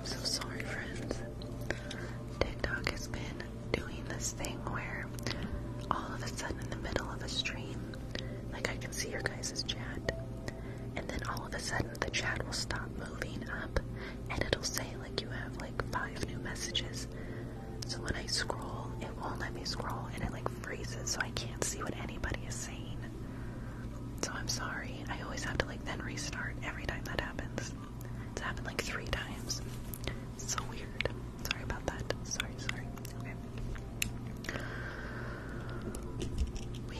I'm so sorry, friends. TikTok has been doing this thing where all of a sudden in the middle of a stream, like I can see your guys' chat, and then all of a sudden the chat will stop moving up and it'll say like you have like five new messages. So when I scroll, it won't let me scroll and it like freezes so I can't see what anybody is saying. So I'm sorry. I always have to like then restart every time that happens. It's happened like three times. So weird. Sorry about that. Sorry, sorry. Okay. We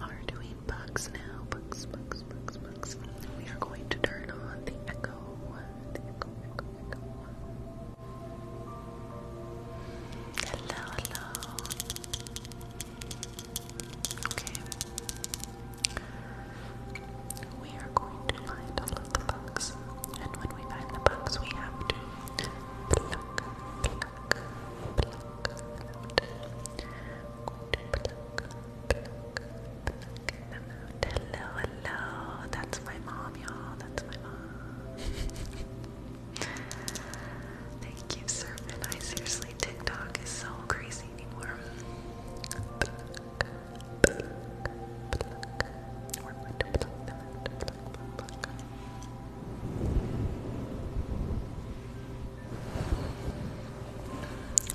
are doing bugs now. Bugs, bugs, bugs, bugs. We are going to turn on the echo. echo, echo, echo. Hello, hello. Okay. We are going to find all of the bugs, and when we find the bugs, we have to pluck, pluck, pluck them out. Pluck, pluck, pluck them out. Hello, hello. That's my mom, y'all. That's my mom. Thank you, Serpent. I seriously, TikTok is so crazy anymore. Pluck, pluck, pluck, pluck.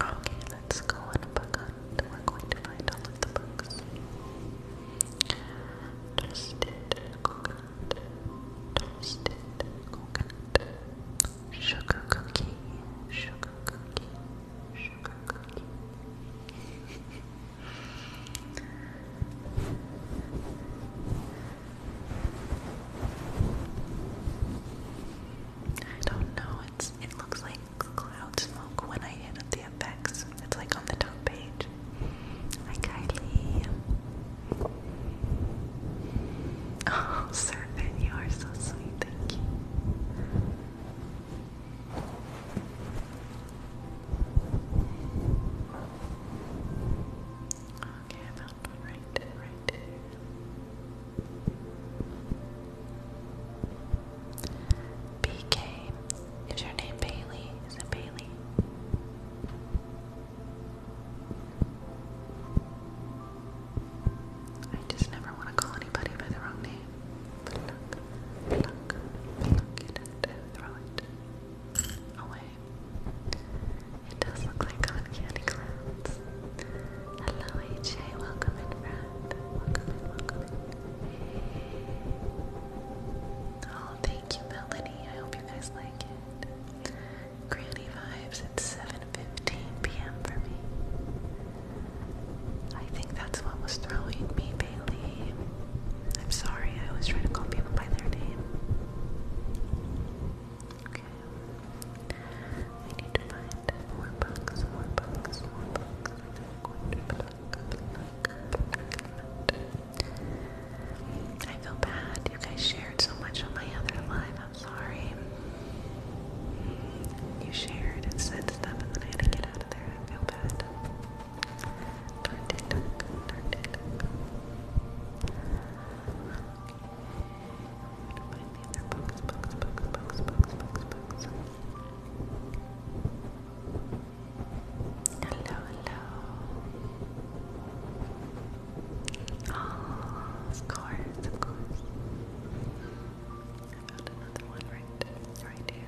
Okay, let's go on book hunt. We're going to find all of the books. Toasted coconut, toasted coconut, sugar cookie, sugar cookie, I don't know. It's it looks like cloud smoke when I hit the effects. It's like on the top page. Hi Kylie. Oh, servant, you are so sweet. Thank you. Okay, I right, BK. Is your name Bailey? Is it Bailey? I just never want to call anybody by the wrong name. Pluck, pluck, pluck it throw it away. It does look like uncanny clouds. Hello, AJ. Welcome in, friend. Welcome in, welcome in. Oh, thank you, Melanie. I hope you guys like it. Granny vibes at 7.15 p.m. for me. I think that's what was throwing me, Bailey. I'm sorry, I always try to call people by their name. Okay. I need to find more books, more books, more books. I'm I feel bad. You guys shared so much on my other live. I'm sorry. You shared and said stuff, and then I had to get out of there. I feel bad. Hello, of course, of course. I found another one right here.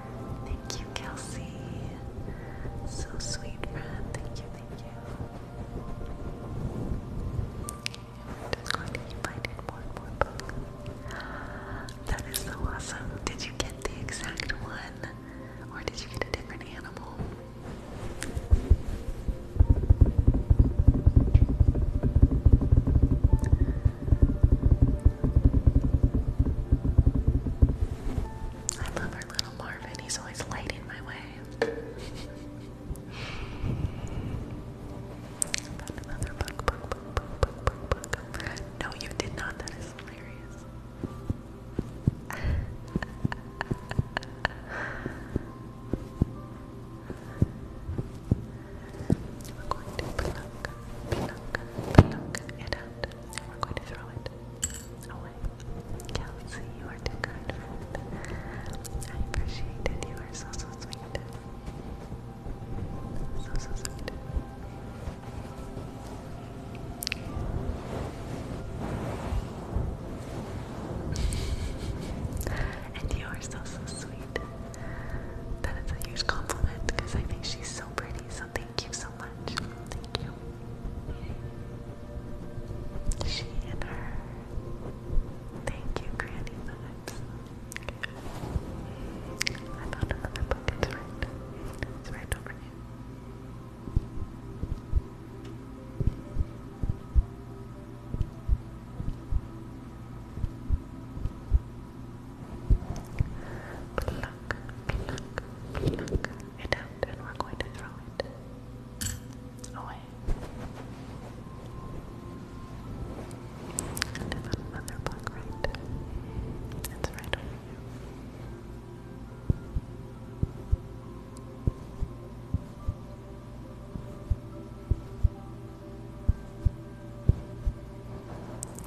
Thank you, Kelsey. So sweet, friend. Thank you, thank you. I'm just going to keep more and more books. That is so awesome. Did you get the exact one? Or did you get a different animal? I love our little Marvin. He's always lighting my way. No, you did not. That is hilarious and we're going to throw it away. Kelsey, you are too kind friend. I appreciate You are so, so sweet. So, so sweet. and you are so, so sweet. That is a huge compliment because I think she's so pretty, thank you so much. Thank you. She and her. Thank you, Granny I found another book. It's right. It's right over here. Pluck, pluck, pluck, and we're going to throw it away. another block right. It's right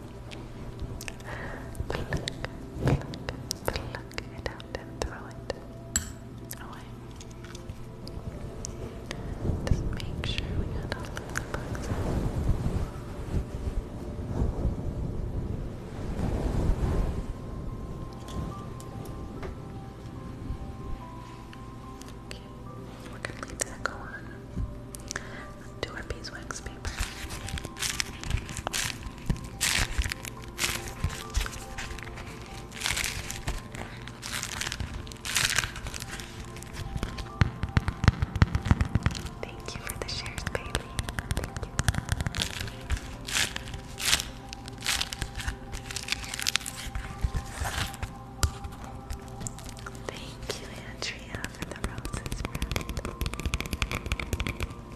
Pluck, pluck, pluck it out and throw it away. Just make sure we got all of the bugs we're gonna leave go on to our beeswax paper. Thank you for the shares, Bailey. Thank you. Andrea, for the roses,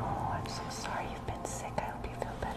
Oh, I'm so sorry you've been sick. I hope you feel better.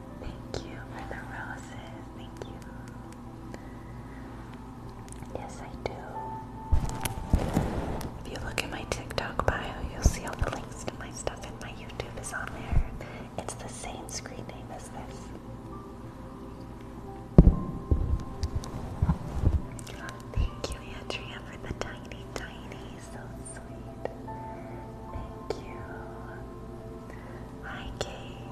Thank you for the roses. Thank you. Yes, I do. If you look at my TikTok bio, you'll see all the links to my stuff, and my YouTube is on there. It's the same screen name as this. Thank you, Andrea, for the tiny, tiny so sweet. Thank you. Hi, Kate.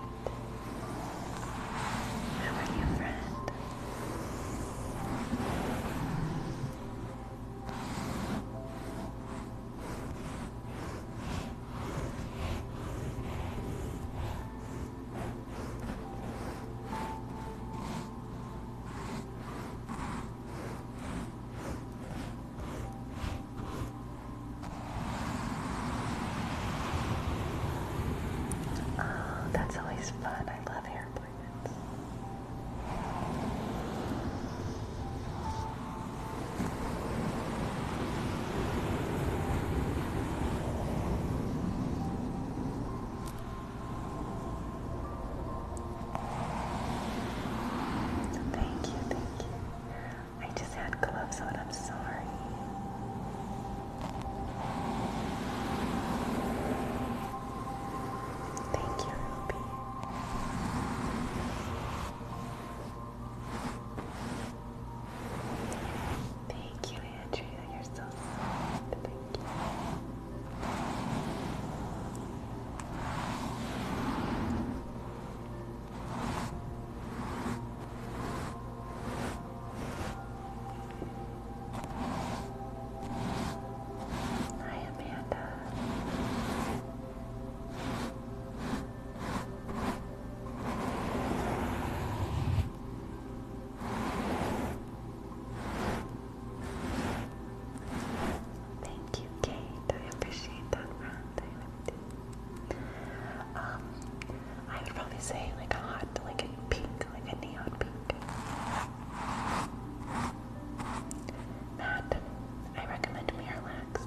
How are you, friend? Oh, that's always fun. I love hair appointments. Thank you, thank you. I just had gloves on, I'm sorry. Thank you, Ruby. Thank you, Andrea. You're so soft. Thank you. Hi, Amanda. Thank you, Kate. I appreciate that round. Um, I would probably say like a hot, like a pink, like a neon pink. Matt, I recommend Miralax.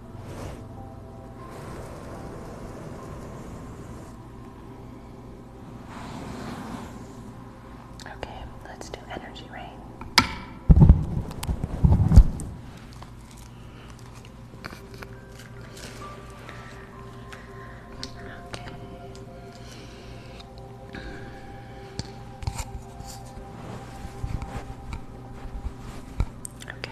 Okay, let's do energy rain. Okay. Okay.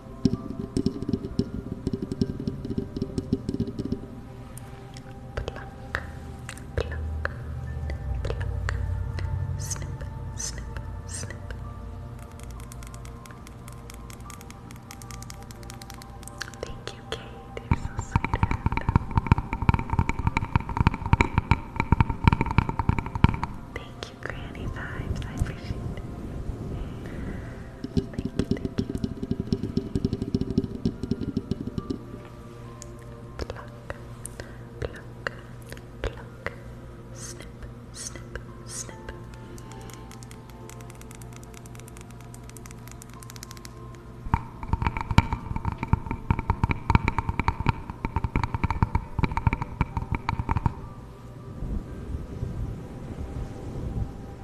Pluck, pluck, pluck. Snip, snip, snip. Thank you, Kate. You're so sweet. Thank you, Granny Vibes. I appreciate it. Thank you, thank you. Pluck, pluck, pluck. Snip, snip, snip. Pluck,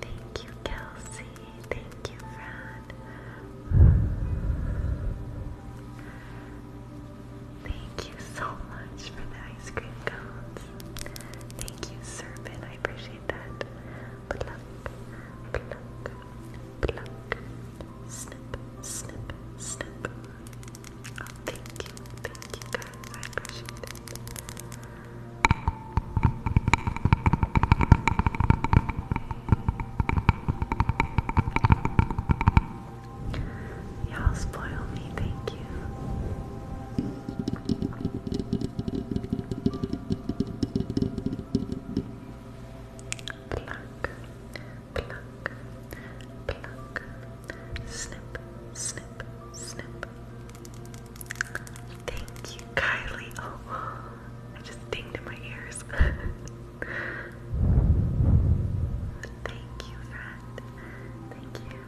Thank you, Kelsey. Thank you, Fred. Thank you so much for the ice cream cones. Thank you, Serpent. I appreciate that. Pluck, pluck, pluck. Snip, snip, snip thank you, thank you guys. I appreciate it. Y'all spoil me, thank you. Pluck, snip, snip, snip. Thank you, Kylie. Oh, I just dinged in my ears. Thank you, friend. Thank you.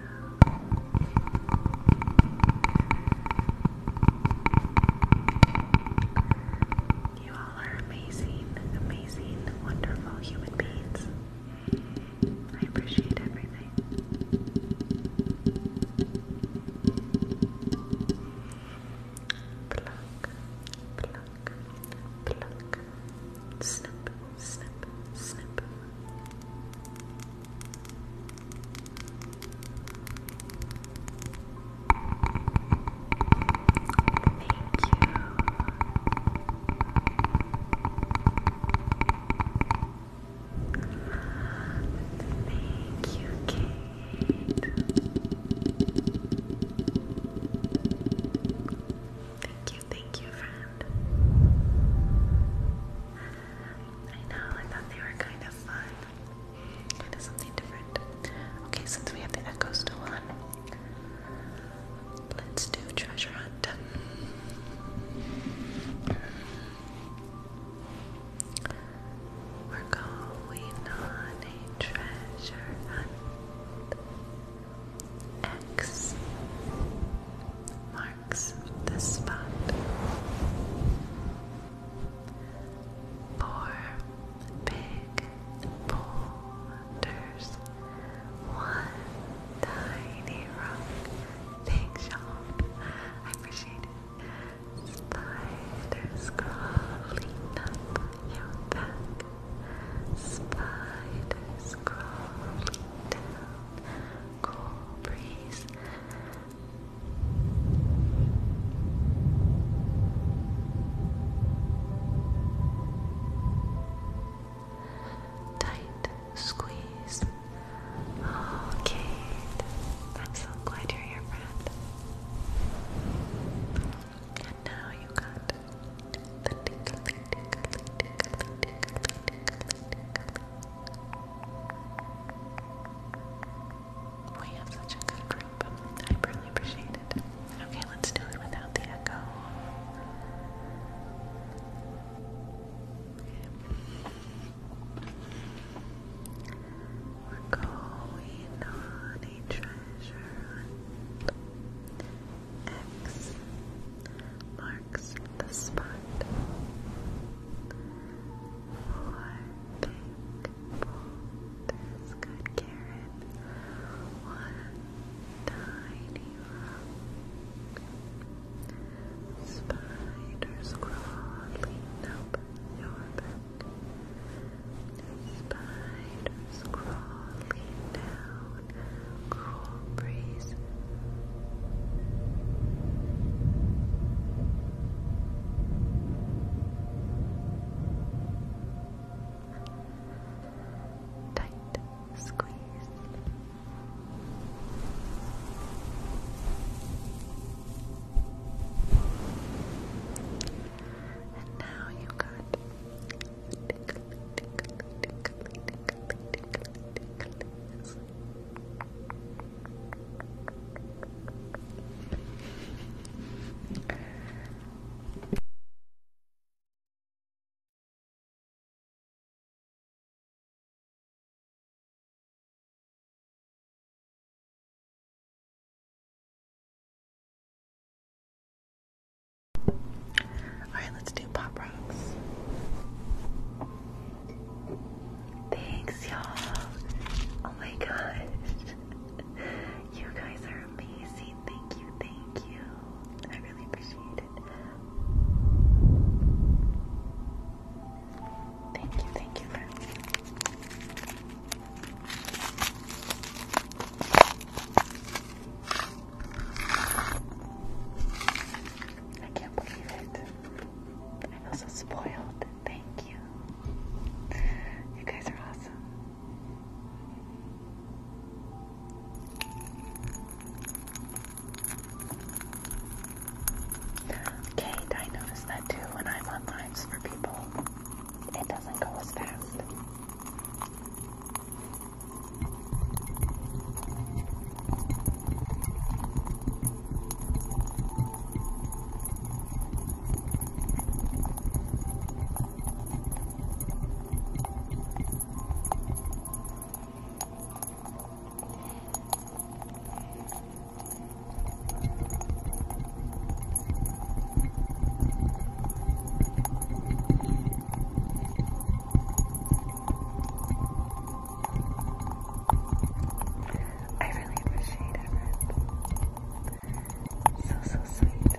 You all are amazing, amazing, wonderful human beings. I appreciate everything. Pluck, pluck, pluck. Snip, snip, snip. Thank you, Kate. Thank you, thank you, friend. I know, I thought they were kind of fun. Kind of something different. Okay, since we have the echo still Let's do treasure hunt. We're going on a treasure hunt. X marks the spot. Four big boulders. One tiny rock. Thanks, you I appreciate it. Spiders crawling up your back. Spiders crawling down. Cool breeze. Tight squeeze. Oh, Kate. I'm so glad you're here, friend. And now you got We have such a good group. I really appreciate it. Okay, let's do it without the echo. We're going on a treasure hunt. X marks the spot. Four big boulders got Karen. One tiny Spiders crawling up your back. Spiders crawling down. Cool breeze. Tight, squeeze. And now you got all right, let's do pop rocks. Thanks, y'all. Oh my gosh. You guys are amazing. Thank you, thank you. I really appreciate it. Thank you, thank you I can't believe it. I feel so spoiled. Thank you. You guys are awesome. Kate, I noticed that too when I'm on for people. It doesn't go as fast. I really appreciate it. So, so sweet.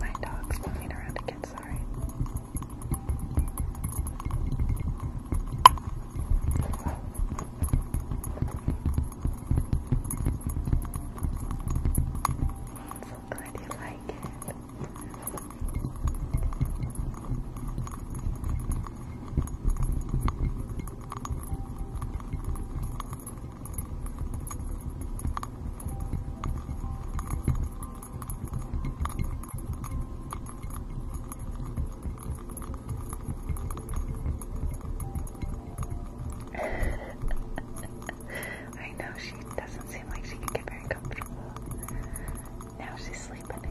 My dog's moving around again, sorry. I'm So glad you like it. I know she doesn't seem like she can get very comfortable. Now she's sleeping again.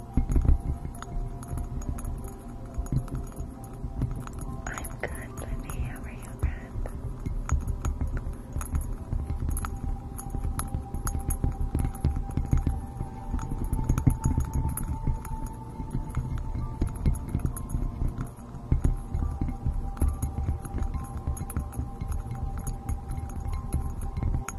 I'm good, Libby. How are you, Brad?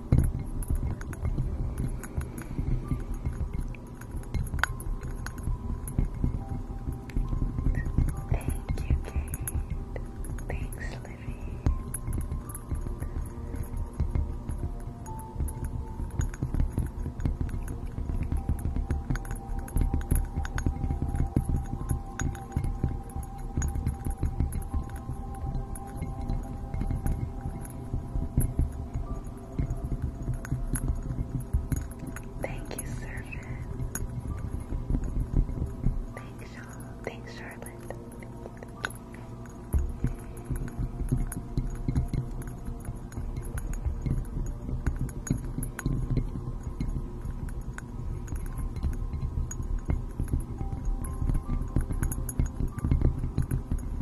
Thank you, Kate. Thanks, Livy. Thank you, Servant. Thanks, Charlotte.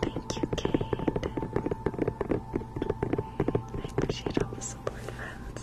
Thank you, Kate. I appreciate all the support, friends.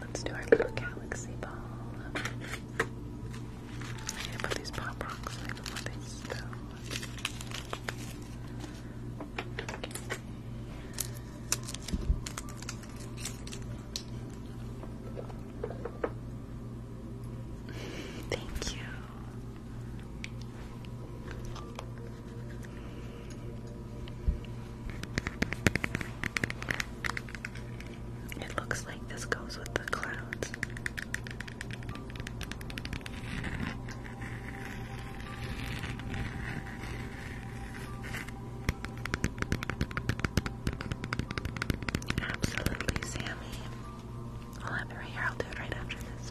Let's do our little galaxy ball. I need to put these pop rocks in before they spill. Thank you. It looks like this goes with the clouds. Absolutely, Sammy. I'll have it right here. I'll do it right after this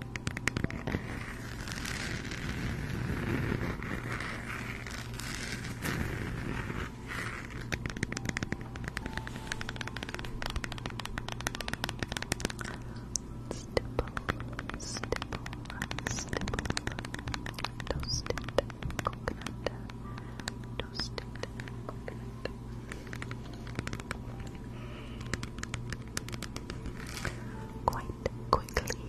Stipple, stipple, stipple, toasted coconut, toasted Quite quickly,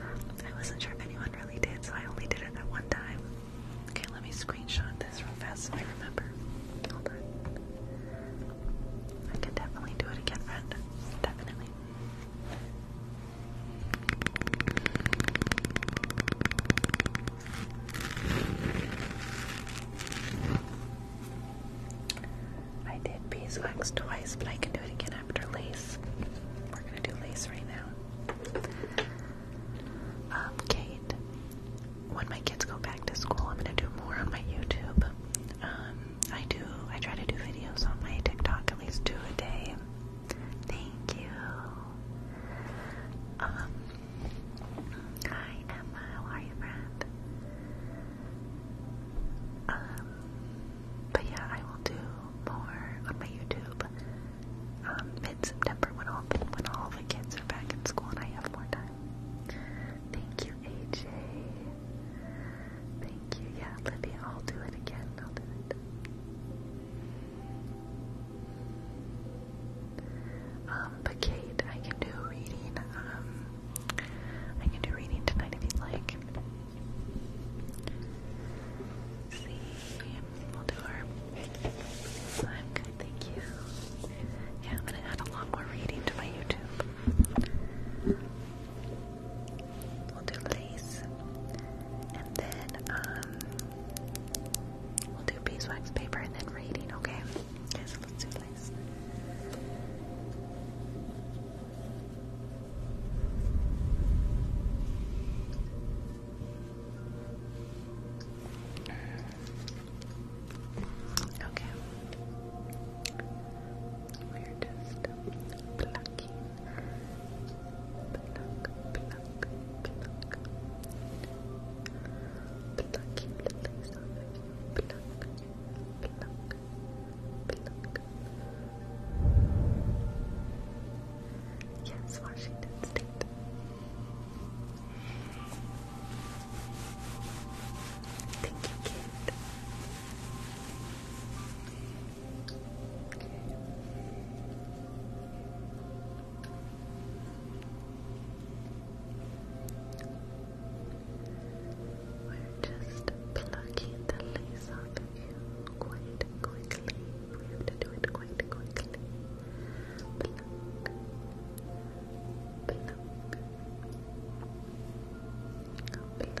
I wasn't sure if anyone really did, so I only did it that one time. Okay, let me screenshot this real fast so I remember. I can definitely do it again, friend. Definitely. I did beeswax twice, but I can do it again after lace. We're gonna do lace right now. Um, Kate, when my kids go back to school, I'm gonna do more on my YouTube. Um, I do. I try to do videos on my TikTok at least two a day. Thank you. Um, hi Emma, how are you, friend? Um, but yeah, I will do more on my YouTube um, mid-September when all when all the kids are back in school and I have more time. Thank you, AJ. Thank you. Yeah, Libby, I'll do it again. I'll do it. Um, but Kate, I can do reading. Um, I can do reading tonight if you'd like. See, we'll do our. I'm thank you. Yeah, I'm gonna add a lot more reading to my YouTube. We'll do lace, and then um, we'll do beeswax paper, and then reading. Okay, okay, so let's do lace. Okay. We're just plucking. Pluck, pluck, pluck. Plucking the you. Pluck, pluck, Yes, Washington State. Thank you, kid. We're just plucking the lace off you quite quickly. We have to do it quite quickly. Pluck. Pluck. Pluck. Pluck. Pluck. Pluck.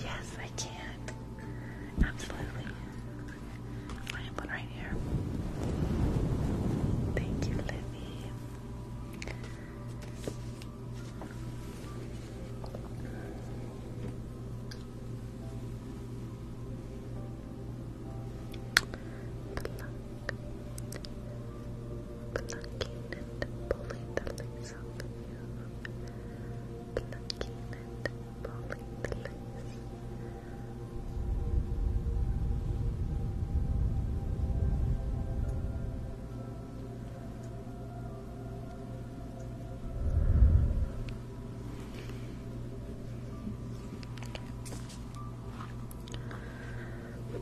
Yes, I can Absolutely. I am one right here. Thank you, Libby. Pluck plucking and pulling the lace off of you, plucking and pulling the lace. Okay.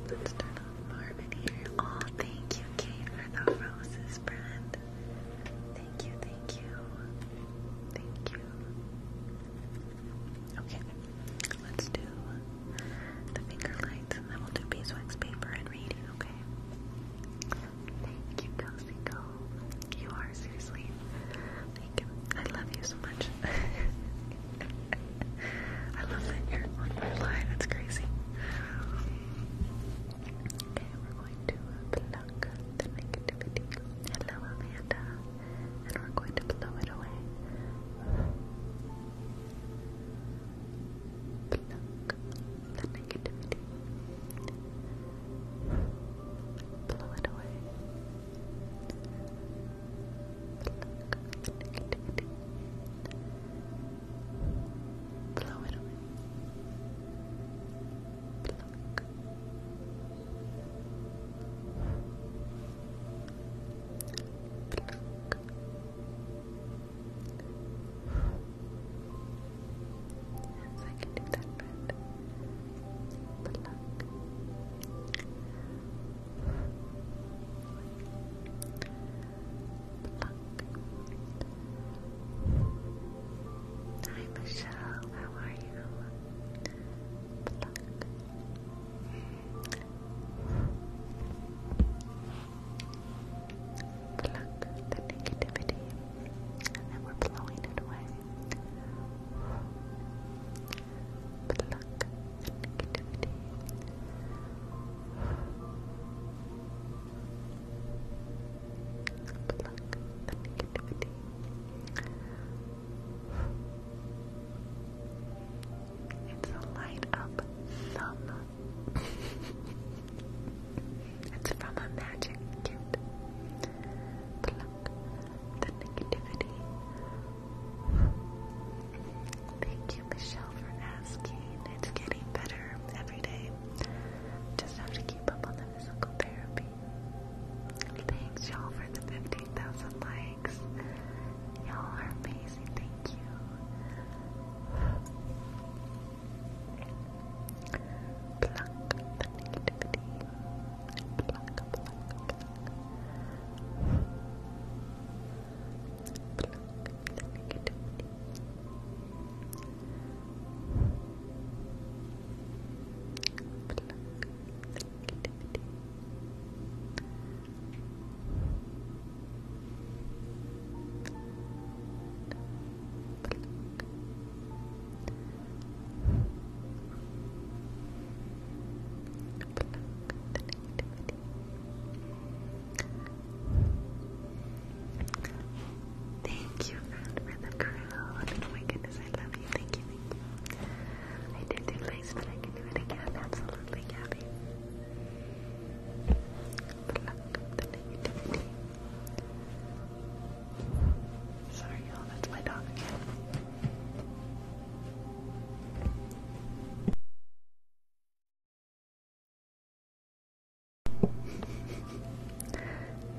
Let's turn on Marvin here. Oh, thank you, Kate, for the roses, friend. Thank you, thank you. Thank you. Okay, let's do the finger lights and then we'll do beeswax paper and reading, okay? Thank you, Kelsey Go. You are seriously. Thank you. I love you so much. I love that on your line, that's crazy. Okay, we're going to pluck the negativity. Hello, Amanda. And we're going to blow it away. Pluck the negativity. Blow it away. Pluck the negativity. Blow it away. Blow it away. Pluck. Pluck. Yes, I can do that, friend. Pluck. Hi Michelle, how are you? Pluck. Pluck the negativity, and we're blowing it away. Pluck the negativity. Pluck Pluck the It's a light up thumb. it's from a magic kit. Pluck the negativity. Thank you, Michelle, for asking. It's getting better every day. Just have to keep up on the physical therapy. Thanks, y'all, for the 15,000 likes. Y'all are amazing. Thank you. Pluck the negativity. Pluck the negativity. Pluck the negativity. Pluck the Thank you, for the crown. Oh my goodness, I love you. Thank you, I did do lace, but I can do it Absolutely, Gabby. Pluck up Sorry, y'all, that's my dog again.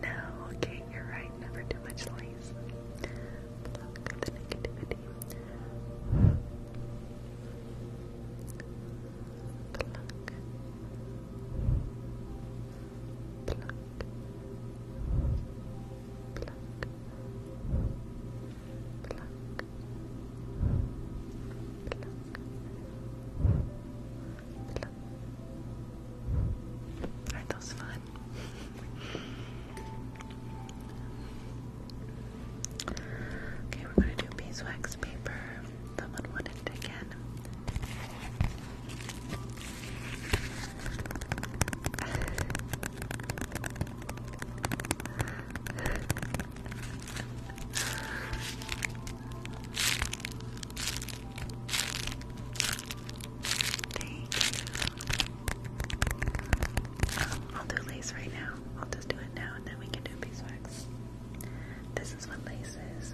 No, okay, you're right. Never too much lies. Aren't those fun? okay, we're gonna do beeswax paper. Someone wanted it again. I'll do lace right now. I'll just do it now and then we can do beeswax. This is what lace is.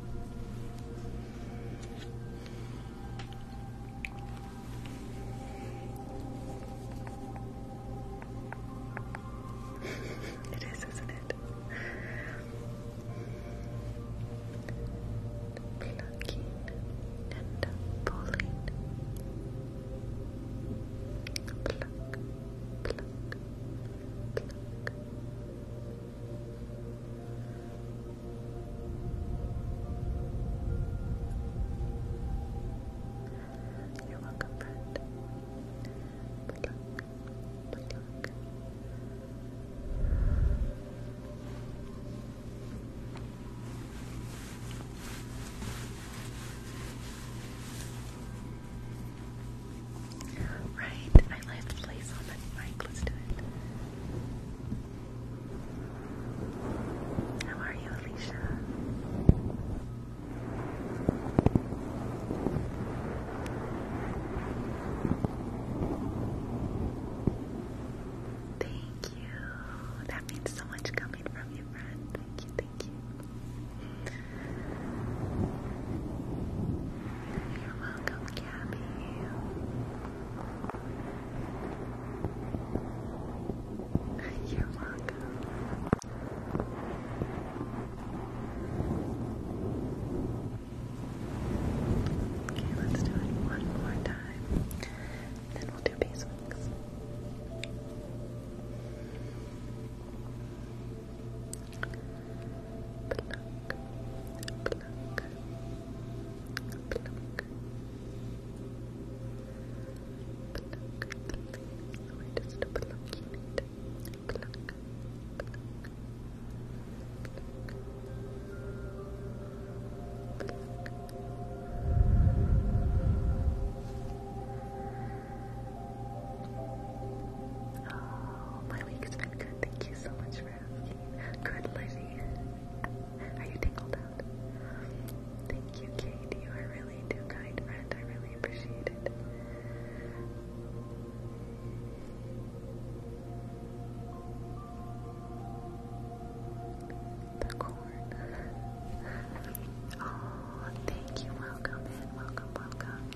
It is, isn't it? Plucking and pulling. pluck, pluck, pluck, you're Good luck. Good luck. Good Right, I left place on the mic. Let's do it. How are you, Alicia? Thank you. That means so much coming from you, friend. Thank you, thank you. You're welcome, Gabby. You're welcome. Okay, let's do it one more time. Then we'll do beeswax. Oh, my week's been good, thank you so much for asking. Good, Lizzie. Are you tingled out? Thank you, Kate. You are really too kind, friend. I really appreciate it. The corn. oh, thank you. Welcome in. Welcome, welcome.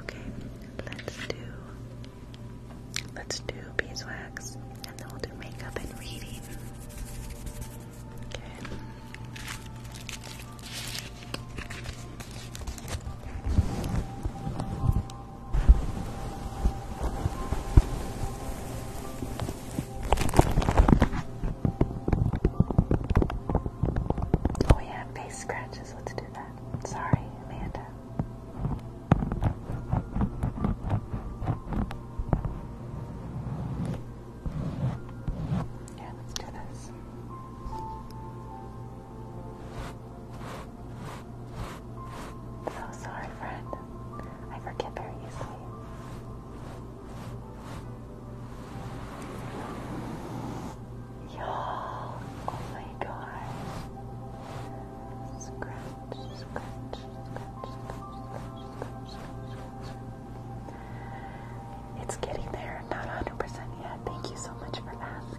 Okay, let's do let's do beeswax and then we'll do makeup and reading. Okay. We oh have face scratches. Let's do that. Sorry, Amanda. Yeah, let's do this. So oh, sorry, friend. I forget very easily you oh my gosh. Scratch, scratch, scratch, scratch, scratch, scratch. It's getting there, not 100% yet. Thank you so much for asking.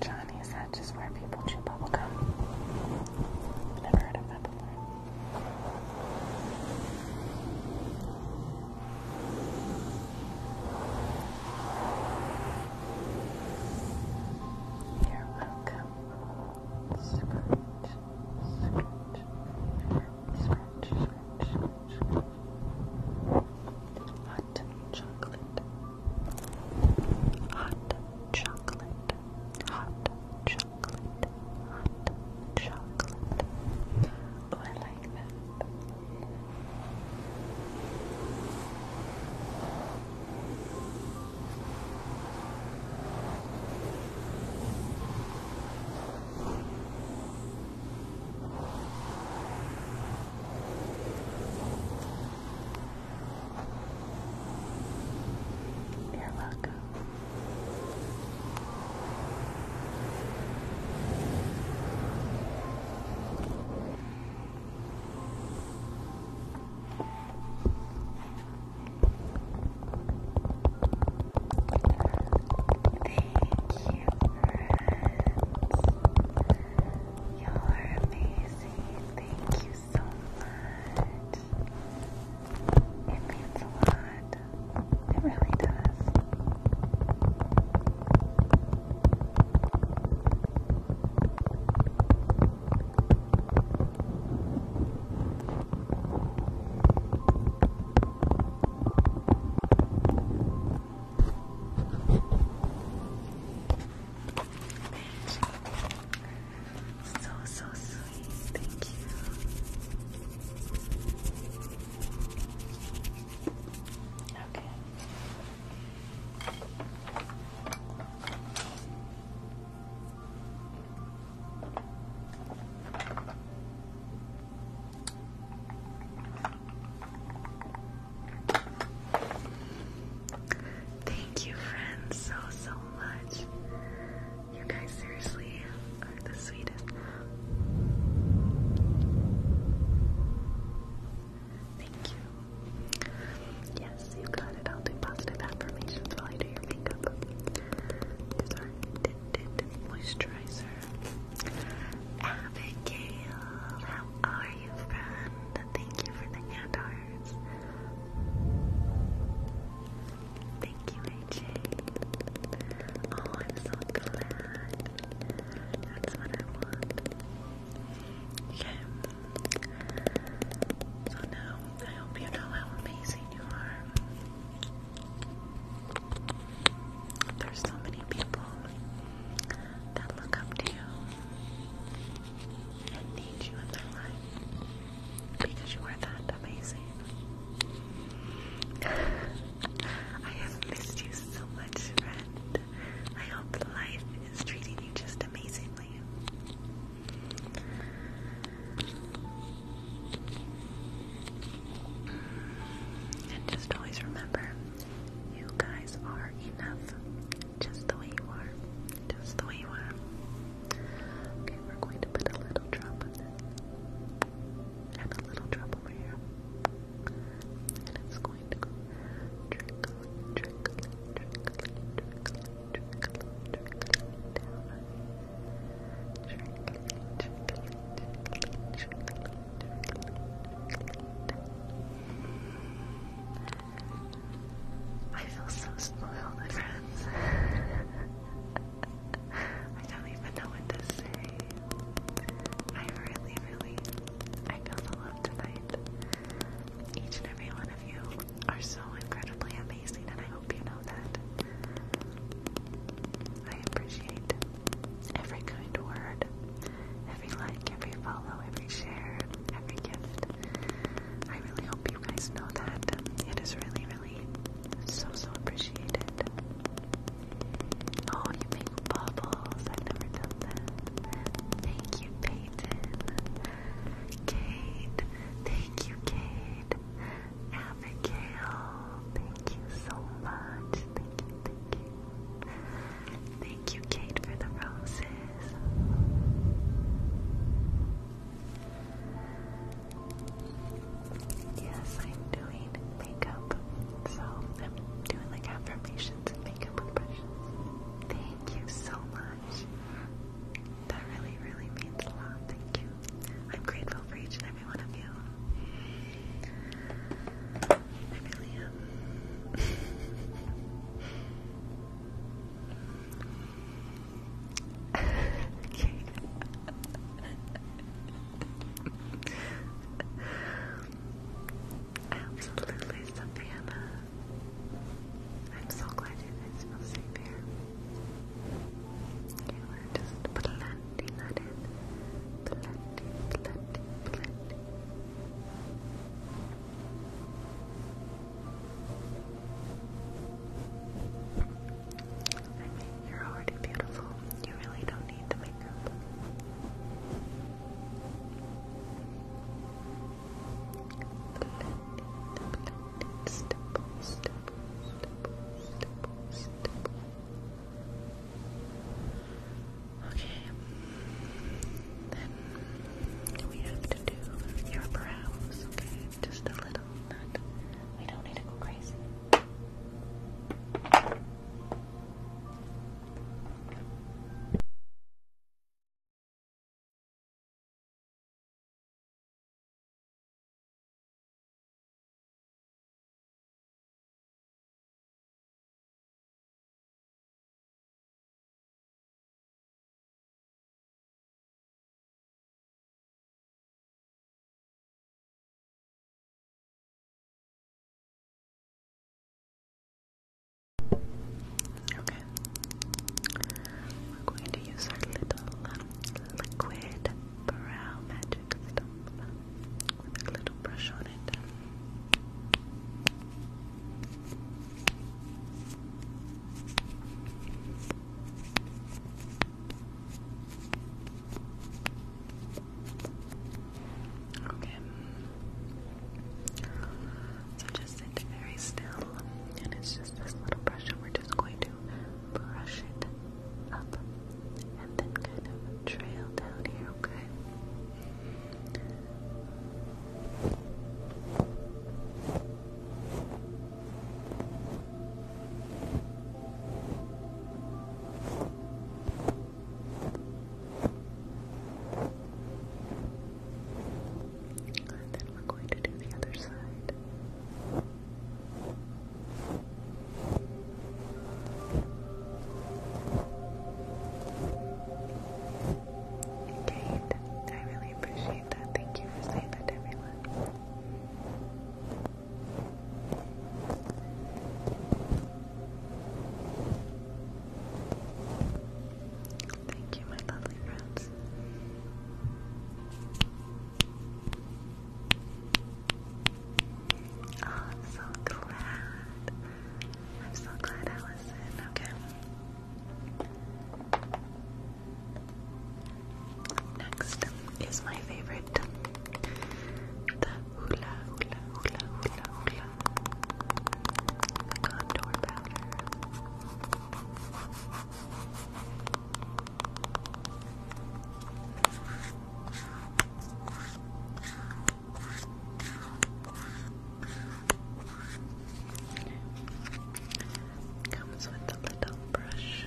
Johnny, is that just where people chew bubble gum? never heard of that before. You're welcome. Scratch, scratch, scratch, scratch, hot chocolate, hot chocolate, hot chocolate, hot chocolate. Oh, I like that. You're welcome. Thank you you're amazing. Thank you so much. It means a lot. It really does. So, so sweet. Thank you. Okay. Thank you, friends, so, so much. You guys seriously are the sweetest. Thank you. Yes, you got it. I'll do positive affirmations while I do your makeup. These moisturizer. Abigail, how are you, friend. Thank you for the hand hearts. Thank you, AJ. Oh, I'm so glad. That's what I want. Okay. So now I hope you know how amazing you are. There's so many people that look up to you and need you in their life because you are that amazing. I have missed you so much, friend. I hope life is treating you just amazingly. And just always remember you guys are enough. Just the way you are. Just the way you are. Okay, we're going to put a little drop And a little drop over here. And it's going to go trickle, trickle, trickle, trickle, trickle, trickle down. Trickle, trickle, trickle, trickle, I feel so spoiled, my friends. I don't even know what to say. I really, really, I feel the tonight. Each and every one of you are so incredibly amazing, and I hope you know that. I appreciate every kind word, every like, every follow, every share, every gift. I really hope you guys know that. It is really, really so, so appreciated. Oh, you make bubbles. I've never done that. Thank you, Peyton. Kate. Thank you, Kate. Abigail. Thank you so much. Thank you, Thank you. Kate, for the roses. Yes, I'm doing makeup. So doing like affirmations and makeup impressions. Thank you so much. That really, really means a lot. Thank you. I'm grateful for each and every one of you. I okay. Absolutely, Savannah. I'm so glad you guys feel safe here. Okay, we're just plenty that in. Plenty, plenty, I you're already beautiful. You really don't need the makeup. Blend, Okay. Then we have to do your brows, okay? Just a little. we don't need to go crazy. Okay. We're going to use our little liquid brow magic stump with a little brush on it. Okay. So just sit very still, and it's just this little brush, and we're just going to brush it up and then kind of trail down here, okay? And then we're going to do the other side. Kate, I really appreciate that. Thank you for saying that, everyone. Thank you, my lovely friends. Oh, I'm so glad. I'm so glad, Allison. Okay. Next is my favorite, Comes with a little brush.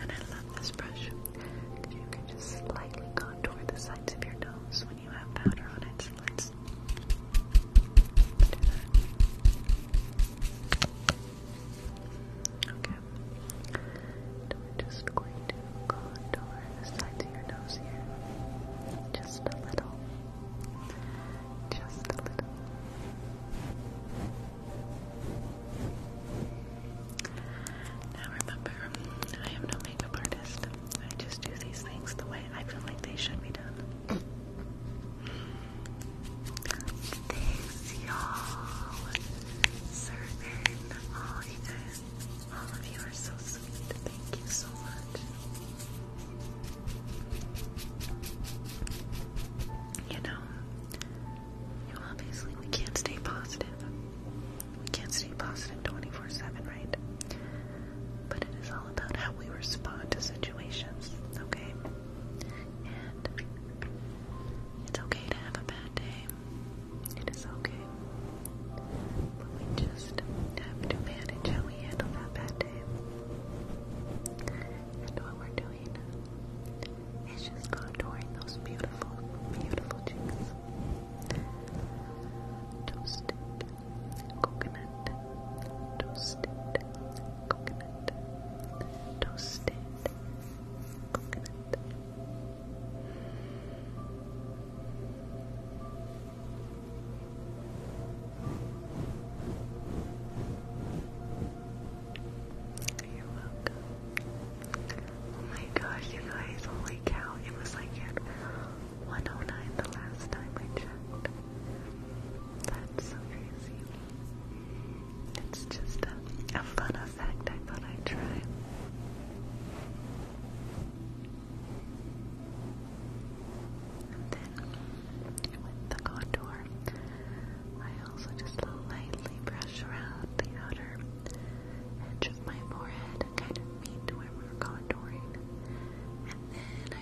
And I love this brush because you can just slightly contour the sides of your nose when you have powder on it. let's do that. Okay. And we're just going to contour the sides of your nose here. Just a little. Just a little. Now remember, I am no makeup artist. I just do these things the way I feel like they should be done. Thanks, y'all. Certain, all you all of you are so sweet. Thank you so much. You know, you obviously we can't stay positive. We can't stay positive 24/7, right? But it is all about how we respond to situations, okay? it's okay to have a bad day. It is okay. we just have to manage how we handle that bad day. And what we're doing is just contouring those beautiful, beautiful cheeks. Toasted coconut, toasted coconut, toasted Oh my gosh, you guys, holy cow. It was like 109 the last time I checked. That's so crazy. It's just a, fun effect. I thought I'd try. And then with the contour, I also just lightly brush around the outer edge of my forehead, kind of meet where we're contouring. And then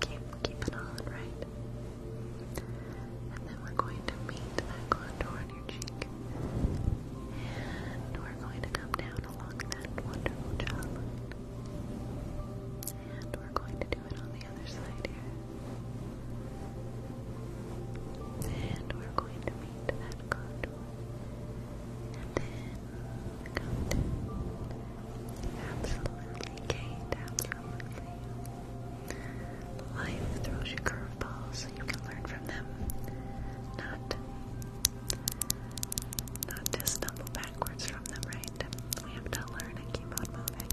keep it on, right? And then we're going to meet that contour on your cheek. And we're going to come down along that wonderful jawline. And we're going to do it on the other side here. And we're going to meet that contour. And then come down. Absolutely, absolutely. Life throws you curveballs and you can learn from them. Not, not just stumble backwards from them, right? We have to learn and keep on moving.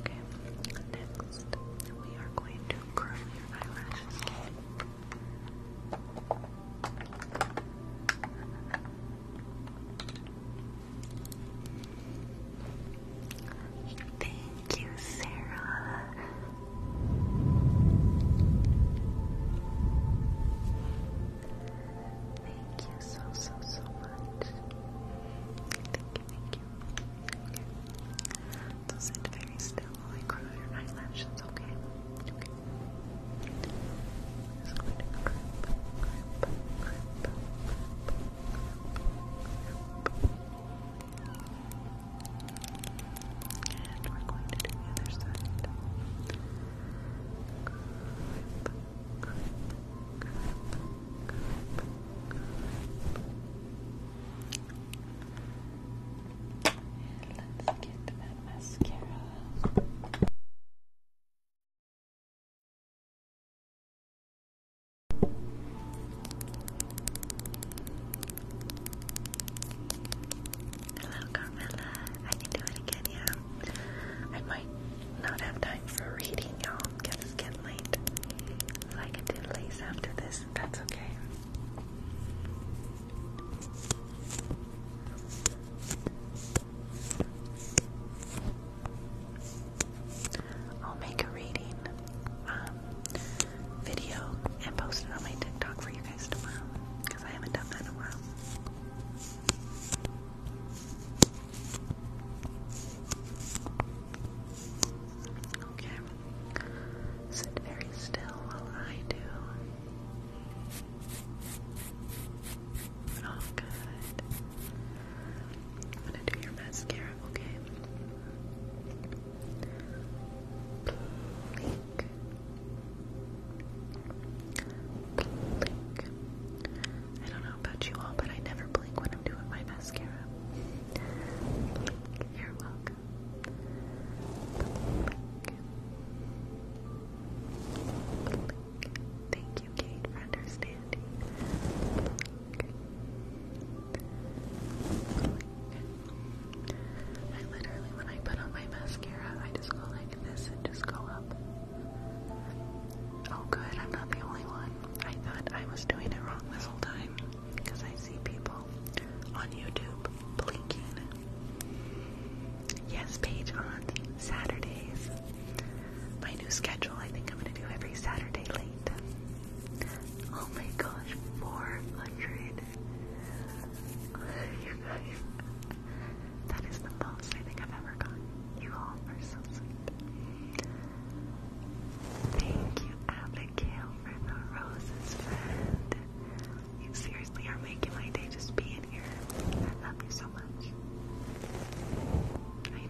Okay, next we are going to curl your eyelashes. Thank you, Sarah. Thank you so, so, so much. Thank you, thank you. Okay. sit very still while I curl your eyelashes, Okay is going And we're going to do the other side. And let's get that mascara. Hello, Carmela. I can do it again, yeah. I might not have time for reading, y'all, because it's getting late. I can do late after this, that's okay. I'll make a reading um, video and post it on my TikTok for you guys tomorrow because I haven't done that in a while. Okay, sit very still while I do all good. I'm gonna do your mascara, okay? Blink. Blink. I don't know about you all, but I never blink when I'm doing my mascara. You're welcome. Thank you, Kate, for understanding. I literally, when I put on my mascara, I just go like this and just go up. Oh, good, I'm not the only one. I thought I was doing it wrong this whole time because I see people on YouTube blinking. Yes, Paige, on Saturdays my new schedule. I think I'm gonna do every Saturday late. Oh my gosh, 400. you guys, that is the most I think I've ever gotten. You all are so sweet. Thank you, Abigail, for the roses, You seriously are making my day just being here. I love you so I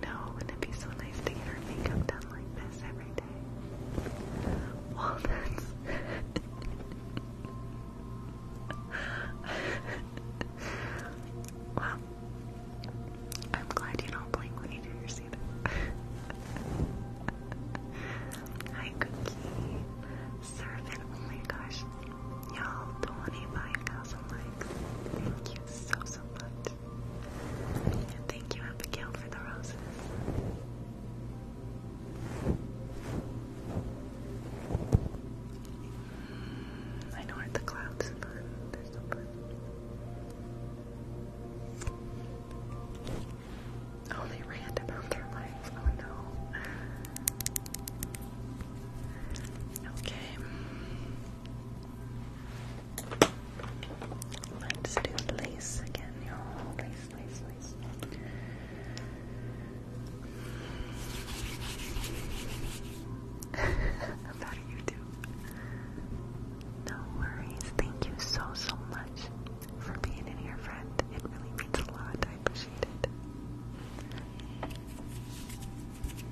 know, wouldn't it be so nice to get our makeup done like this every day? Walnuts. well, I'm glad you don't blink when you do your seat. Hi, Cookie. Servant, oh my gosh. Y'all, 25,000 likes. Thank you so, thank you, Abigail, for the roses. I know at the clouds, are Oh, they ran about their life. Oh no. Okay. Let's do lace again, y'all. Lace, lace, lace. How you do? No worries. Thank you so, so much for being in here, friend. It really means a lot. I appreciate it.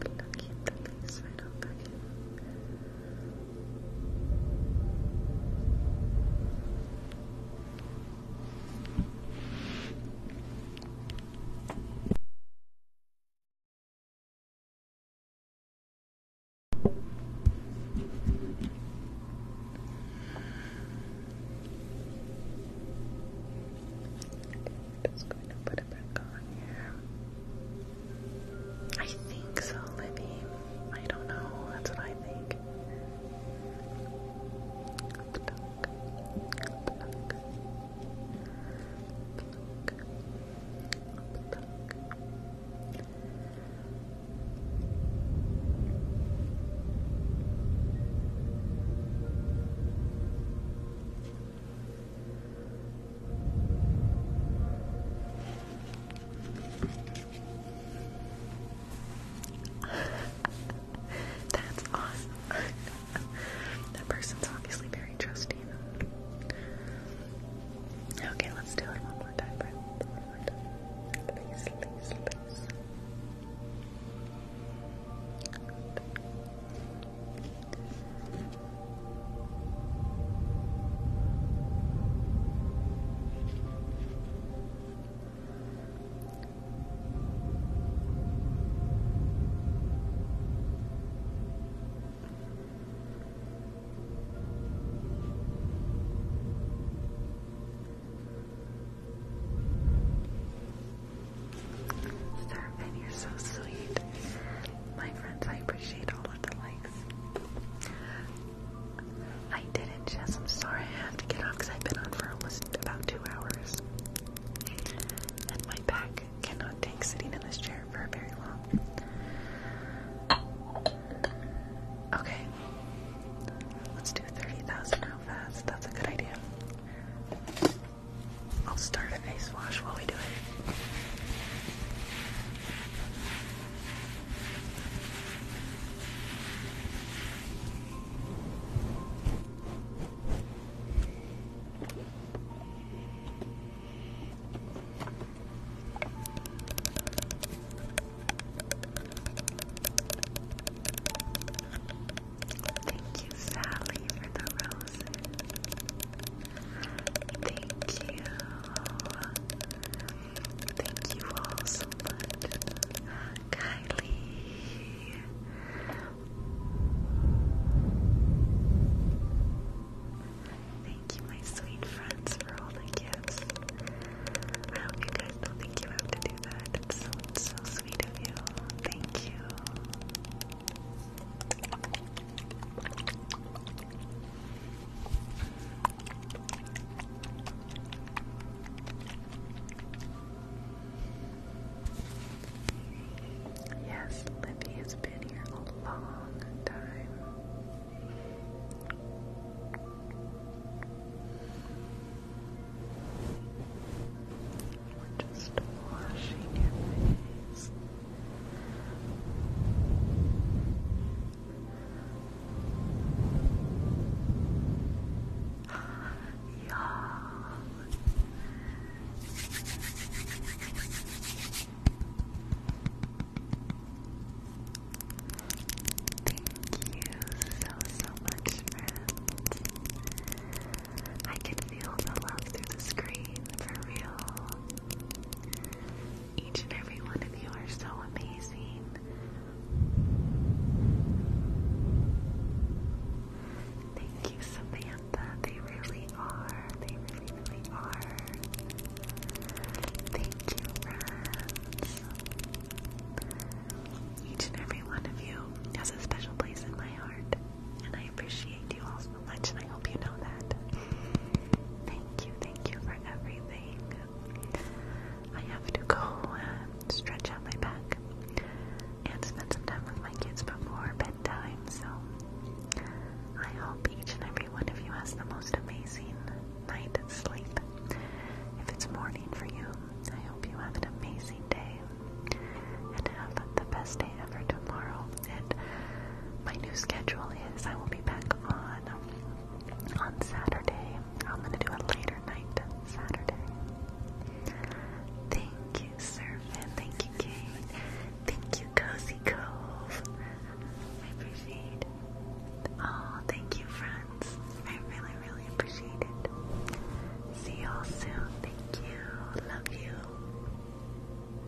But now keep the face right over here. I'm just going to I think so, Libby. I don't know. That's what I think. That's awesome. that person's obviously very trusting. Okay, let's do it One more time. Please, please, please. Serpent, you're so sweet my friends, I appreciate all of the likes. I didn't, Jess. I'm sorry I have to get off because I've been on for almost about two hours. And my back cannot take sitting in this chair for very long. Okay. Let's do 30,000 how fast. That's a good idea. I'll start a face wash while we do it. Thank you, Sally, for the rose. Thank you. Thank you all so much. Kylie. Thank you, my sweet friends, for all the gifts. I hope you think you have to do that. so sweet of you. Thank you. Yes, Libby has been here a long time. We're just washing your Thank you so, so much, friends. I can feel the love through the screen for real. Each and every one of you are so amazing. Thank you, Samantha. They really are. They really, really are. Thank you, friends. Each and every one of you has a special place in my heart, and I I appreciate you all so much, and I hope you know that. Thank you, thank you for everything. I have to go uh, stretch out my back and spend some time with my kids before bedtime, so I hope each and every one of you has the most amazing night sleep. If it's morning for you, I hope you have an amazing day and have the best day ever tomorrow. And My new schedule is I will be back on on Saturday. I'm gonna do a later night Saturday. Thank you, Surfin. Thank you, Kate. Thank you, Cozy Cove. I appreciate it. thank you, friends. I really, really appreciate it. See y'all soon. Thank you. Love you.